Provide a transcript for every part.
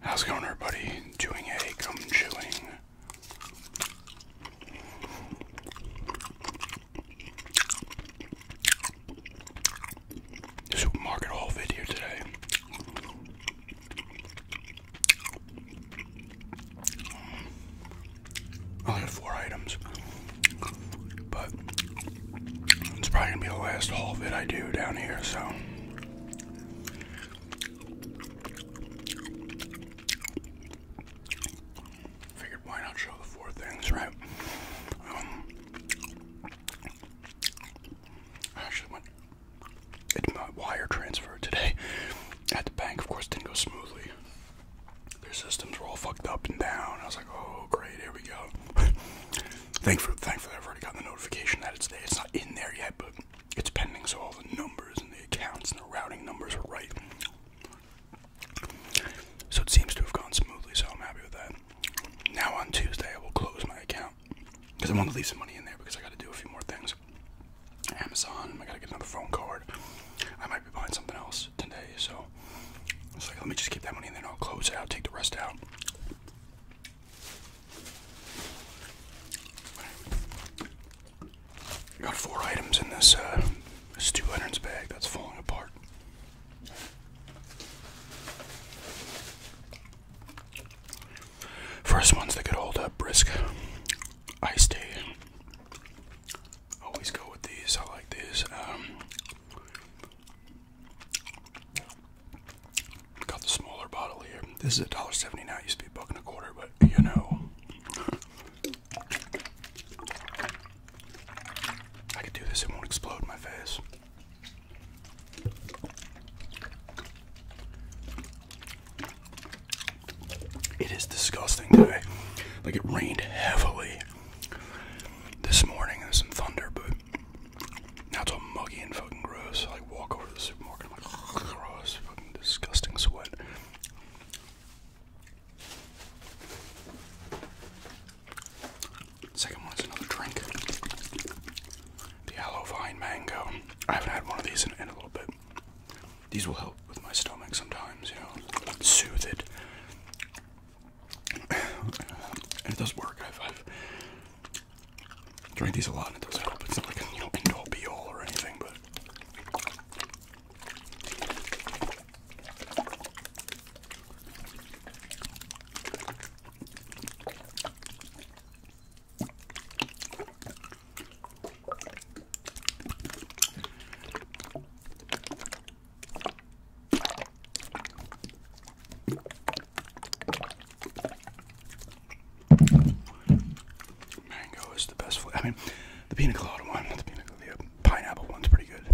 How's it going, everybody? Doing a gum chewing. Supermarket haul video today. I only got four items, but it's probably gonna be the last haul that I do down here, so. Figured why not show the four things, right? Um, actually went, did my wire transfer today at the bank. Of course, didn't go smoothly. Their systems were all fucked up and down. I was like, oh, great, here we go. Thankfully, thankfully, I've already gotten the notification that it's there. It's not in there yet, but it's pending, so all the numbers and the accounts and the routing numbers are right. So it seems to have gone smoothly, so I'm happy with that. Now on Tuesday, I will close my account because I want to leave some money in there because I got to do a few more things. Amazon, I got to get another phone card. I might be buying something else today, so let me just keep that money in there I'll close it out, take the rest out. Got four items in this uh, two Leonard's bag that's falling apart. First one's the good old uh, brisk ice tea. Always go with these. I like these. Um, Got the smaller bottle here. This is a dollar seventy now. It used to be a buck and a quarter, but you know, I could do this. It won't explode my face. It is disgusting today. Like it rained heavily this morning. There's some thunder, but now it's all muggy and fucking gross. I like walk over to the supermarket, I'm like, gross, fucking disgusting sweat. Second one is another drink. The aloe vine mango. I haven't had one of these in a little bit. These will help with my stomach sometimes, you know, soothe it and it does work. I've, i drank these a lot, and it does help. It's not like an you know end all be all or anything, but. Mango is the best flavor. I mean, the pina one, the pina uh, pineapple one's pretty good.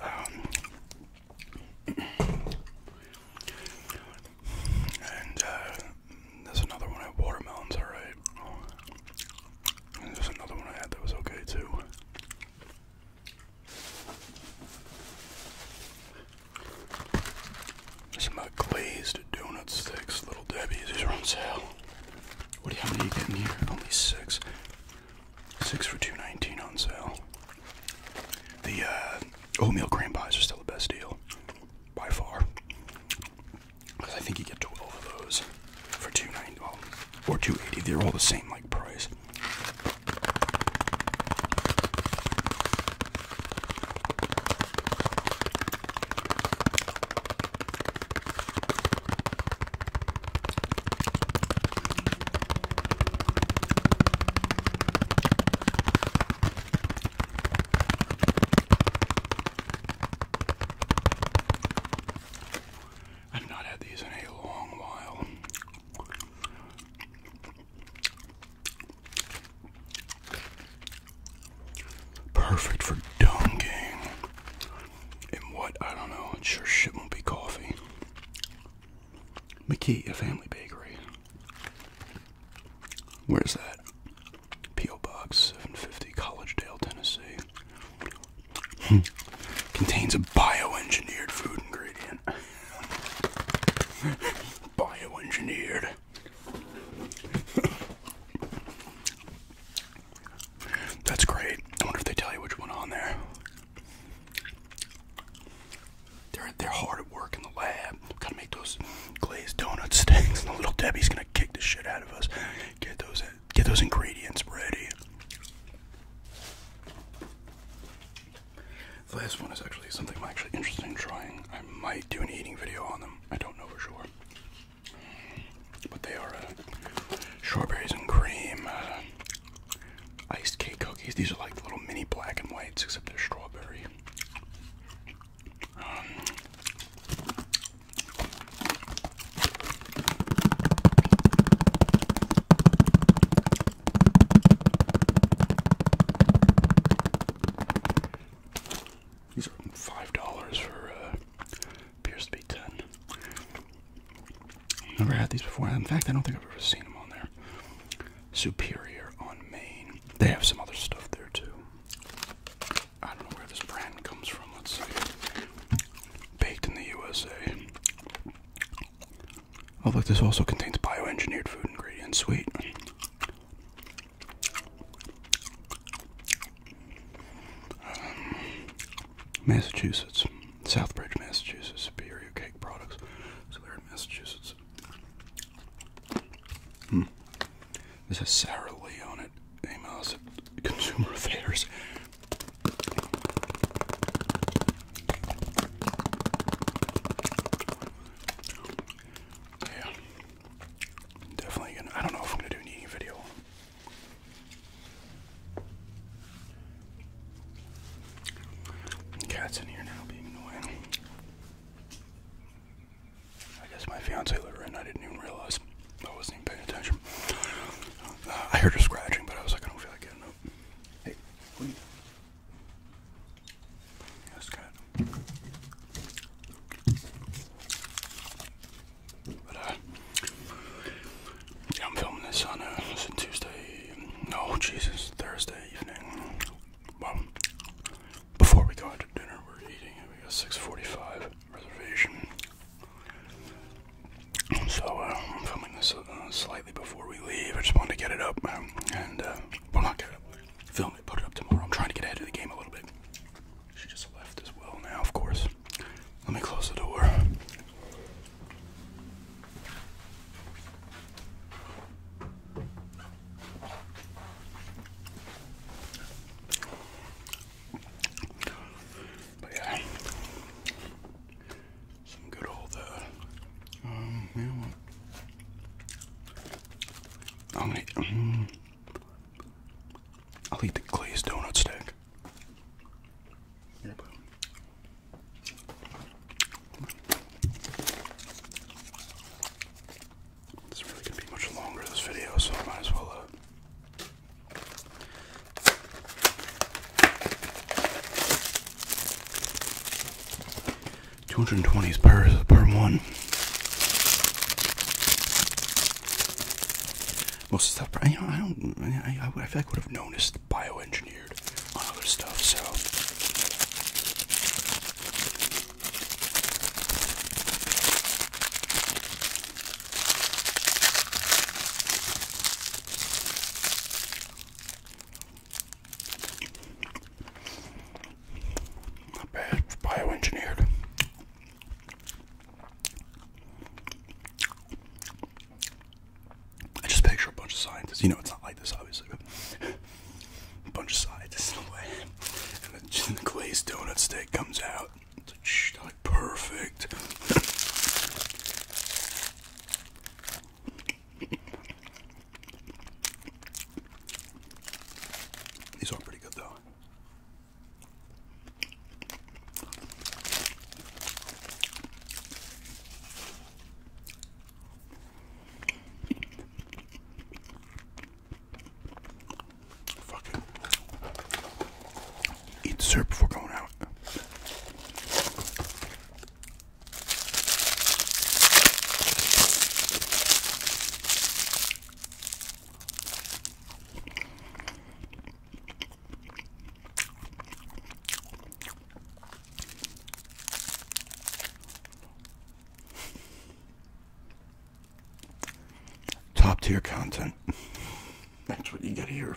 Um, and uh, there's another one. I had. watermelon's alright. And there's another one I had that was okay too. Some glazed donut sticks, little Debbie's. These are on sale. What do you, how many you in here? Only six. Six for two nineteen on sale. The uh, oatmeal cream pies are still the best deal, by far. Cause I think you get twelve of those for two ninety, well, or two eighty. They're all the same like price. I've not had these in a long while. Perfect for dunking. And what? I don't know. It sure shit won't be coffee. McKee, a family bakery. Where's that? P.O. Box 750, Collegedale, Tennessee. Hmm. Contains a bioengineered food ingredient. Bioengineered. That's great. I wonder if they tell you which one on there. They're they're hard at work in the lab. Gotta make those glazed donut sticks. And little Debbie's gonna kick the shit out of us. Get those get those ingredients ready. The last one is actually something I'm actually interested in trying. I might do an eating video on them. I don't know for sure. But they are uh, strawberries and cream uh, iced cake cookies. These are like the little mini black and whites, except they're strawberry. Um, these are five dollars for uh, appears to be 10 never had these before. In fact, I don't think I've ever seen them on there. Superior on Maine. They have some other stuff there too. I don't know where this brand comes from. Let's see. Baked in the USA. Although this also contains bioengineered food ingredients, sweet. Um, Massachusetts, Southbridge, Massachusetts, Superior Cake Products. So they're in Massachusetts. Hmm. This is Sarah Lee on it. Amos, Consumer Affairs. Definitely gonna I don't know if I'm gonna do an eating video. Cat's in here now being annoying. I guess my fiance liver and I didn't even realize I wasn't even paying attention. Uh, I heard her scratching, but I was like, I don't feel like getting up. Hey, what do you? That's good. But uh, I'm filming this on uh, on Tuesday. No, oh, Jesus, Thursday evening. Well, before we go out to dinner, we're eating. We got six forty-five reservation. So uh, I'm filming this uh, slightly before we leave. I just wanted to get it up um, and uh, well, not get it up, film it, put it up tomorrow. I'm trying to get ahead of the game a little bit. She just left as well. Now, of course, let me close the door. But some good old, uh, um, you I'm going I'll eat the glazed donut stick. Yep. really gonna be much longer, this video, so I might as well, uh, Two hundred and twenties per per one. Most stuff, I, you I don't. I, I, feel like would have noticed bioengineered on other stuff. So. Not bad, bioengineered. I just picture a bunch of scientists. You know, it's not like this, obviously, but a bunch of scientists in a way. And then the glazed donut steak comes out perfect. These are pretty good though. Fucking eat syrup before going out. Top tier content. That's what you get here.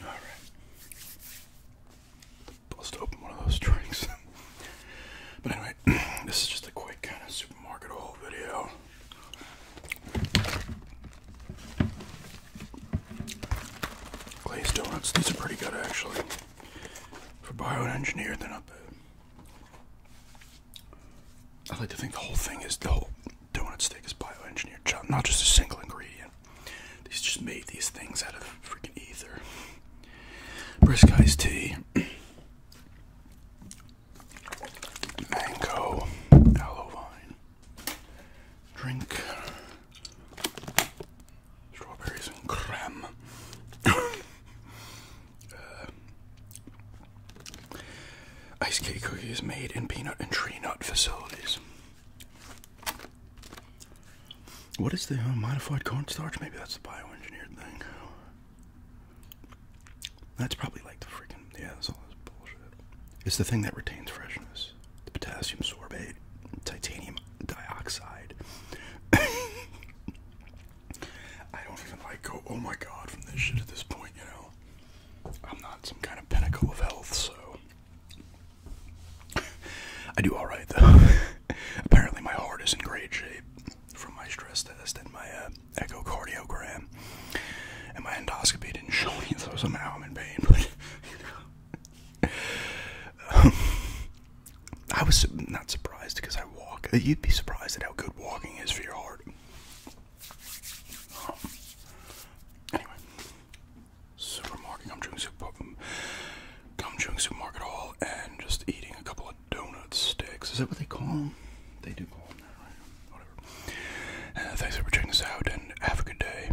All right. open one of those drinks. but anyway, this is just a quick kind of supermarket haul video. Glazed donuts, these are pretty good actually. For bioengineered, they're not bad. I like to think the whole thing is the whole donut stick is bioengineered, not just a single ingredient. They just made these things out of freaking ether. Brisk iced tea, mango, aloe vine, drink, Strawberries and cream. Uh, ice cake cookies made in peanut and tree nut facilities. What is the uh, modified cornstarch? Maybe that's the bioengineered thing. That's probably like the freaking yeah. That's all this bullshit. It's the thing that retains freshness the potassium sorbate, titanium dioxide. I don't even like go, oh my god, from this shit at this point, you know. I'm not some kind of pinnacle of health, so. I do alright, though. Apparently, my heart is in great shape from my stress test and my uh, echocardiogram. And my endoscopy didn't show me, so somehow I'm in pain, but. You know. I was not surprised because I walk. You'd be surprised at how good walking is for your heart. Um, anyway, supermarket. I'm doing super. I'm doing supermarket hall and just eating a couple of donut sticks. Is that what they call them? They do call them that, right? Whatever. Uh, thanks for checking this out and have a good day.